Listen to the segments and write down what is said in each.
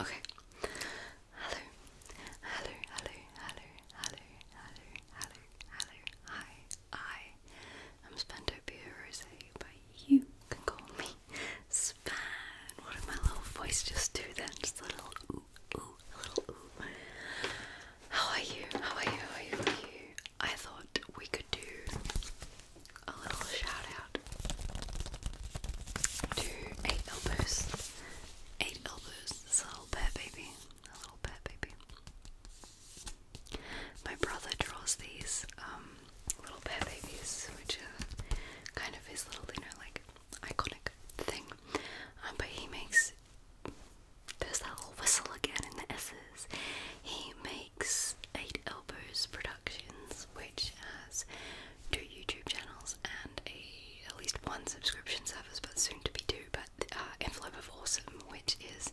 Okay. Hello. Hello, hello, hello, hello, hello, hello, hello. Hi. I am Spendopia Rose, but you can call me what did my little voice just do then? Just a little ooh, ooh, a little ooh. How are you? How are you? How are you? I thought we could do a little shout out to Eight Elbows. Eight Elbows a little pet baby. A little pet baby. My brother draws these. Um, little bear babies, which are uh, kind of his little, you like iconic thing. Um, but he makes there's that whole whistle again in the S's. He makes Eight Elbows Productions, which has two YouTube channels and a at least one subscription service, but soon to be two. But uh, Envelope of Awesome, which is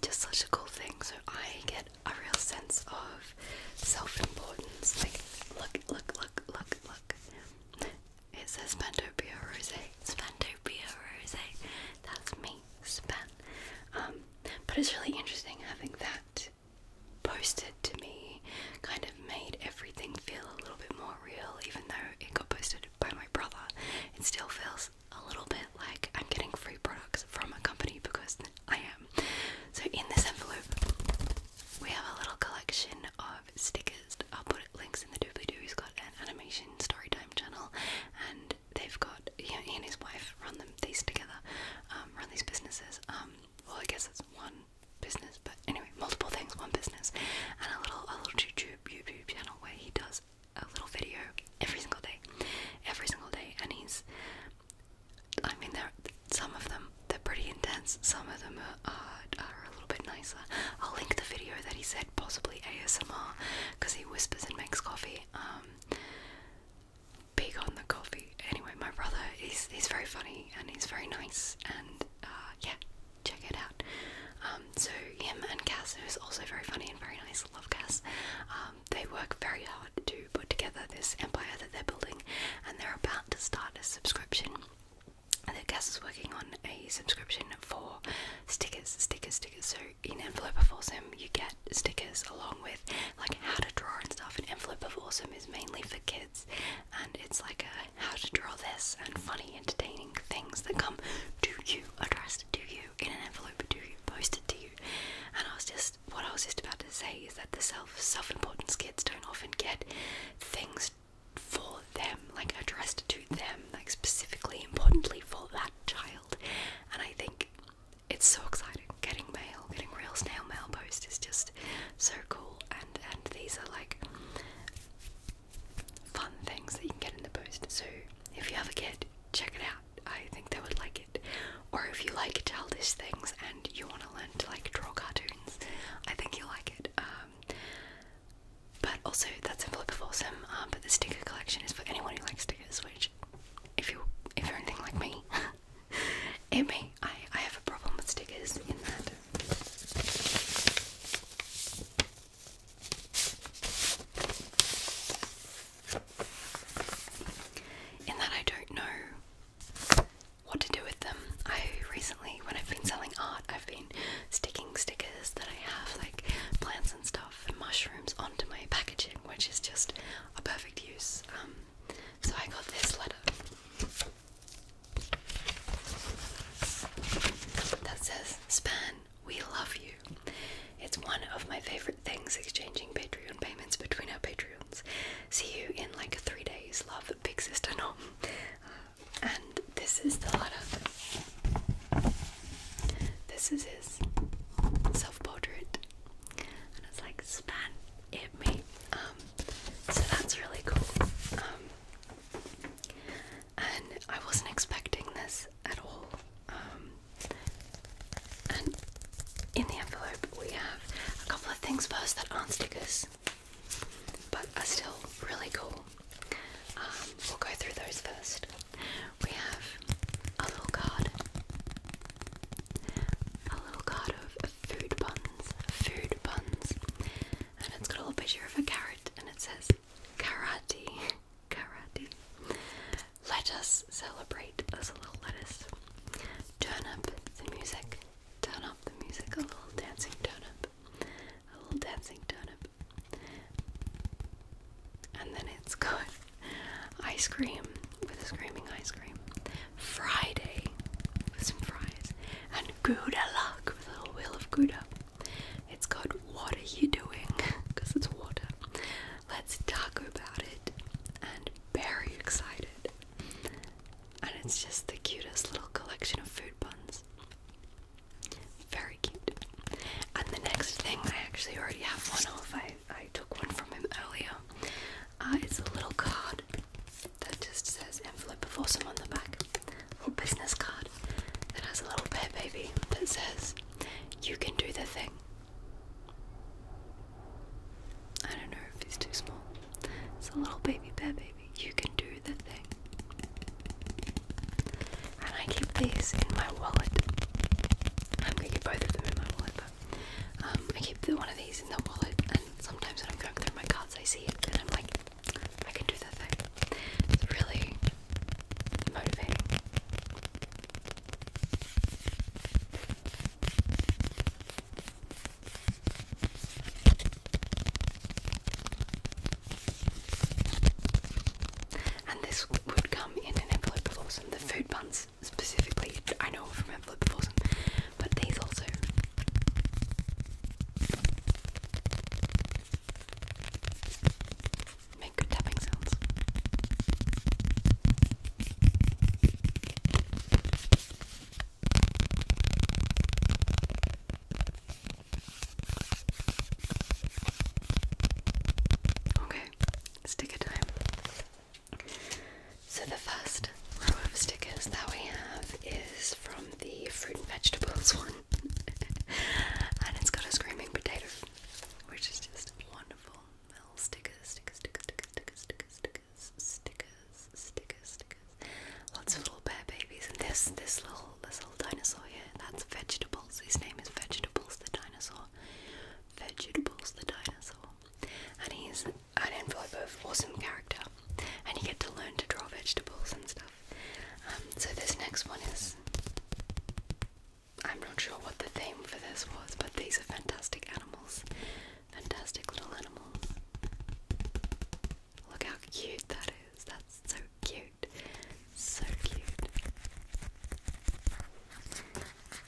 just such a cool thing. So I get a real sense of self-importance. Like, look, look, look, look, look. It says Spantopia Rose. Spantopia Rose. That's me, Span. Um, but it's really interesting having that posted to me, kind of made everything feel a little bit more real, even though it got posted by my brother. It still feels a little bit like I'm getting free products from a company because I am. So in this envelope, we have a little collection of stickers. I'll put links in the doobly-doo. He's got an animation storytime channel, and they've got he and his wife run them these together, um, run these businesses. Um, well, I guess it's one business, but anyway, multiple things, one business, and a little a little YouTube YouTube channel where he does a little video every single day, every single day, and he's I mean, some of them they're pretty intense. Some of them are, a little bit nicer. I'll link the video that he said possibly ASMR because he whispers and makes coffee. Um, big on the coffee. Anyway, my brother he's he's very funny and he's very nice and uh, yeah, check it out. Um, so him and Cass, who's also very funny and very nice, love Cass. Um, they work very hard to put together this empire that they're building, and they're about to start a subscription. Their guest is working on a subscription for stickers, stickers, stickers. So in Envelope of Awesome, you get stickers along with like how to draw and stuff. And Envelope of Awesome is mainly for kids, and it's like a how to draw this and funny, entertaining things that come to you, addressed to you in an envelope, to you, posted to and I was just, what I was just about to say is that the self self importance kids don't often get things for them, like addressed to them, like specifically importantly for that child. And I think it's so exciting. Getting mail, getting real snail mail post is just so cool. And and these are like fun things that you can get in the post. So if you have a kid check it out. I think they would like it. Or if you like childish things and you want to learn to like draw cartoons, I think you'll like it. Um, but also, that's a Flip Awesome. Um, but the sticker collection is for anyone who likes stickers, which, if you if you're anything like me, it I I have a problem with stickers in that. In that I don't know what to do with them. I recently, when I've been selling art, I've been sticking stickers that I have, like plants and stuff and mushrooms, onto my packaging, which is just a perfect use. Um, so I got this letter that says, Span we love you. It's one of my favorite things exchanging Patreon payments between our Patreons. See you in like three days. Love, big sister Nom. Uh, and this is the letter. This is his self portrait. And it's like, span it me. Um, so that's really cool. Um, and I wasn't expecting this at all. Um, and in the envelope, we have a couple of things first that aren't stickers but are still really cool. Um, we'll go through those first. We have a little card, a little card of food buns, food buns, and it's got a little picture of a carrot and it says karate. Karate. Let us celebrate as a little lettuce. Turn up the music. Turn up the music. A little dancing Turn up. A little dancing turnip. And then it's ice cream with a screaming ice cream. Friday with some fries. And good luck with a little wheel of luck. It's called What Are You Doing? Because it's water. Let's talk about it. And very excited. And it's just the cutest little collection of food buns. Very cute. And the next thing, I actually already have one off. I, I took one from him earlier. Uh, it's a little card that just says envelope of awesome on the back little business card that has a little bear baby that says, You can do the thing. I don't know if he's too small. It's a little baby bear baby. You can do the thing. And I keep these in my wallet. I'm gonna get both of them in my wallet, but um, I keep one of these in the wallet, and sometimes when I'm going through my cards, I see it, and I'm like, I can do that thing. It's really motivating. And this would come in an envelope of awesome. The food buns specifically, I know from envelope of awesome, but these also Make good tapping sounds. Okay, sticker time. So the first row of stickers that we have is from the fruit and vegetables one. and it's got a screaming potato, which is just wonderful. stickers, stickers, stickers, stickers, stickers, stickers, stickers, stickers, stickers. Lots of little bear babies and this this little this little dinosaur here, that's vegetables. His name is Vegetables the Dinosaur. Vegetables the Dinosaur. And he's an envelope of awesome character, and you get to learn to draw vegetables and stuff. Um, so this next one is. I'm not sure what the theme for this was, but these are fantastic animals. Fantastic little animals. Look how cute that is. That's so cute. So cute.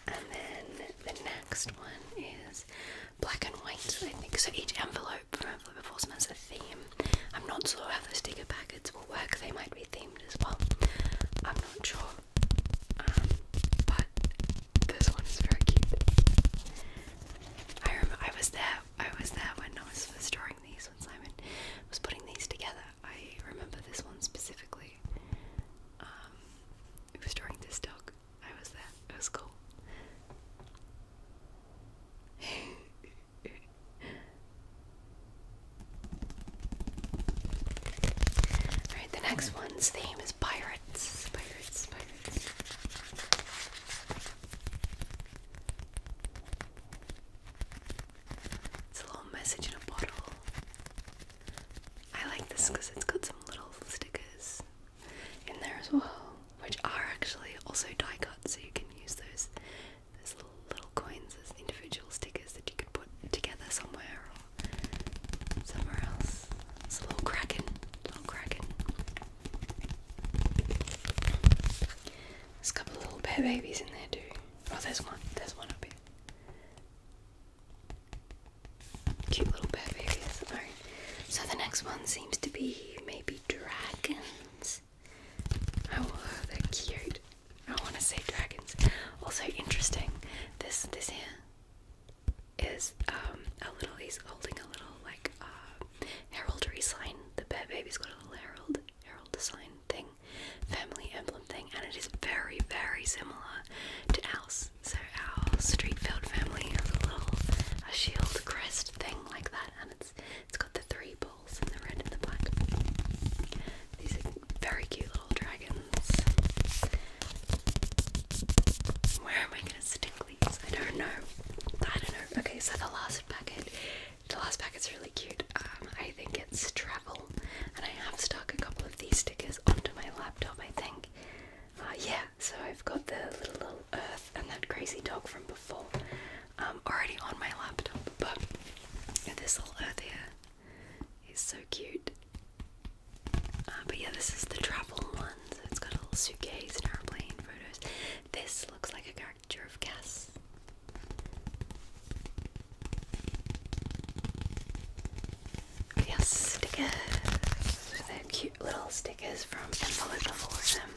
And then the next one is black and white, I think. So each envelope from Envelope Enforcement has a theme. I'm not sure how the sticker packets will work, they might be themed as well. I'm not sure. Um, but this one is very cute. I remember I was there I was there when I was first drawing these when Simon was putting these together. I remember this one specifically. Um, was drawing this dog. I was there. It was cool. Alright, the next one's theme is pirates. Pirates, pirates. It's a little message in a bottle. I like this because it's got some little stickers in there as well, which are actually also die cut, so you can use those those little, coins as individual stickers that you could put together somewhere or somewhere else. It's a little kraken, little kraken. There's a couple little bear babies in there too. Oh, there's one. There's one up here. Cute little bear babies. Alright. So the next one seems to be maybe dragons. Oh, they're cute. I want to say dragons. Also interesting. This this here is um, a little. He's holding a little like uh, heraldry sign. The bear baby's got a little herald herald design thing, family emblem thing, and it is very very similar to our so our Streetfield family has a little a shield crest thing like that, and it's it's got the three balls and the red and the black. These are very cute little dragons. Where am I gonna stick these? I don't know. I don't know. Okay, so the last packet, the last packet's really cute. Um, I think travel. And I have stuck a couple of these stickers onto my laptop, I think. Uh, yeah, so I've got the little, little earth and that crazy dog from before um, already on my laptop, but this little earth here is so cute. Uh, but yeah, this is the travel one, so it's got a little suitcase and airplane photos. This looks like a caricature of Cass. We stickers. they cute little stickers from Envelope of Awesome.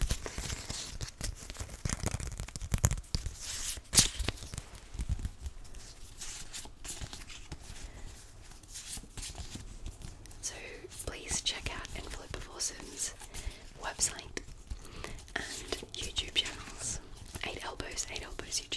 So please check out Envelope of Awesome's website and YouTube channels. Eight Elbows, Eight Elbows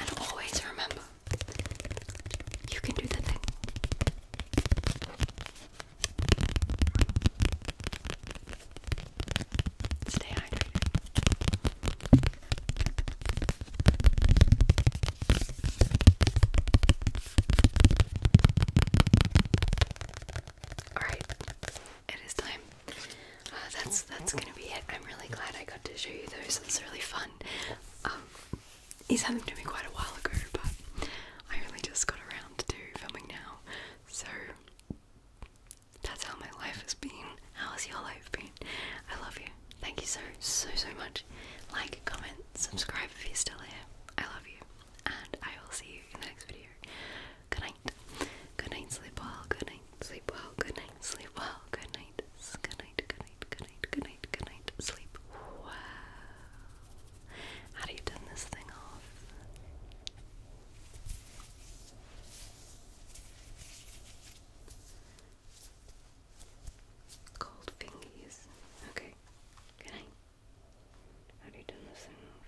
And always remember, you can do the thing. Stay hydrated. Alright, it is time. Uh, that's that's gonna be it. I'm really glad I got to show you those. It's really fun. Um, he's had them to me quite a while ago, but I really just got around to filming now. So that's how my life has been. How has your life been? I love you. Thank you so so so much. Like, comment, subscribe if you're still here. I love you, and I will see you in the next video. Good night. Good night, sleep well. Good night, sleep well. Good night, sleep well. Good night. Good night. Good night. Good night. Good night. Good night. Sleep well. How do you turn this thing off? Cold fingies. Okay. Good night. How do you turn this thing off?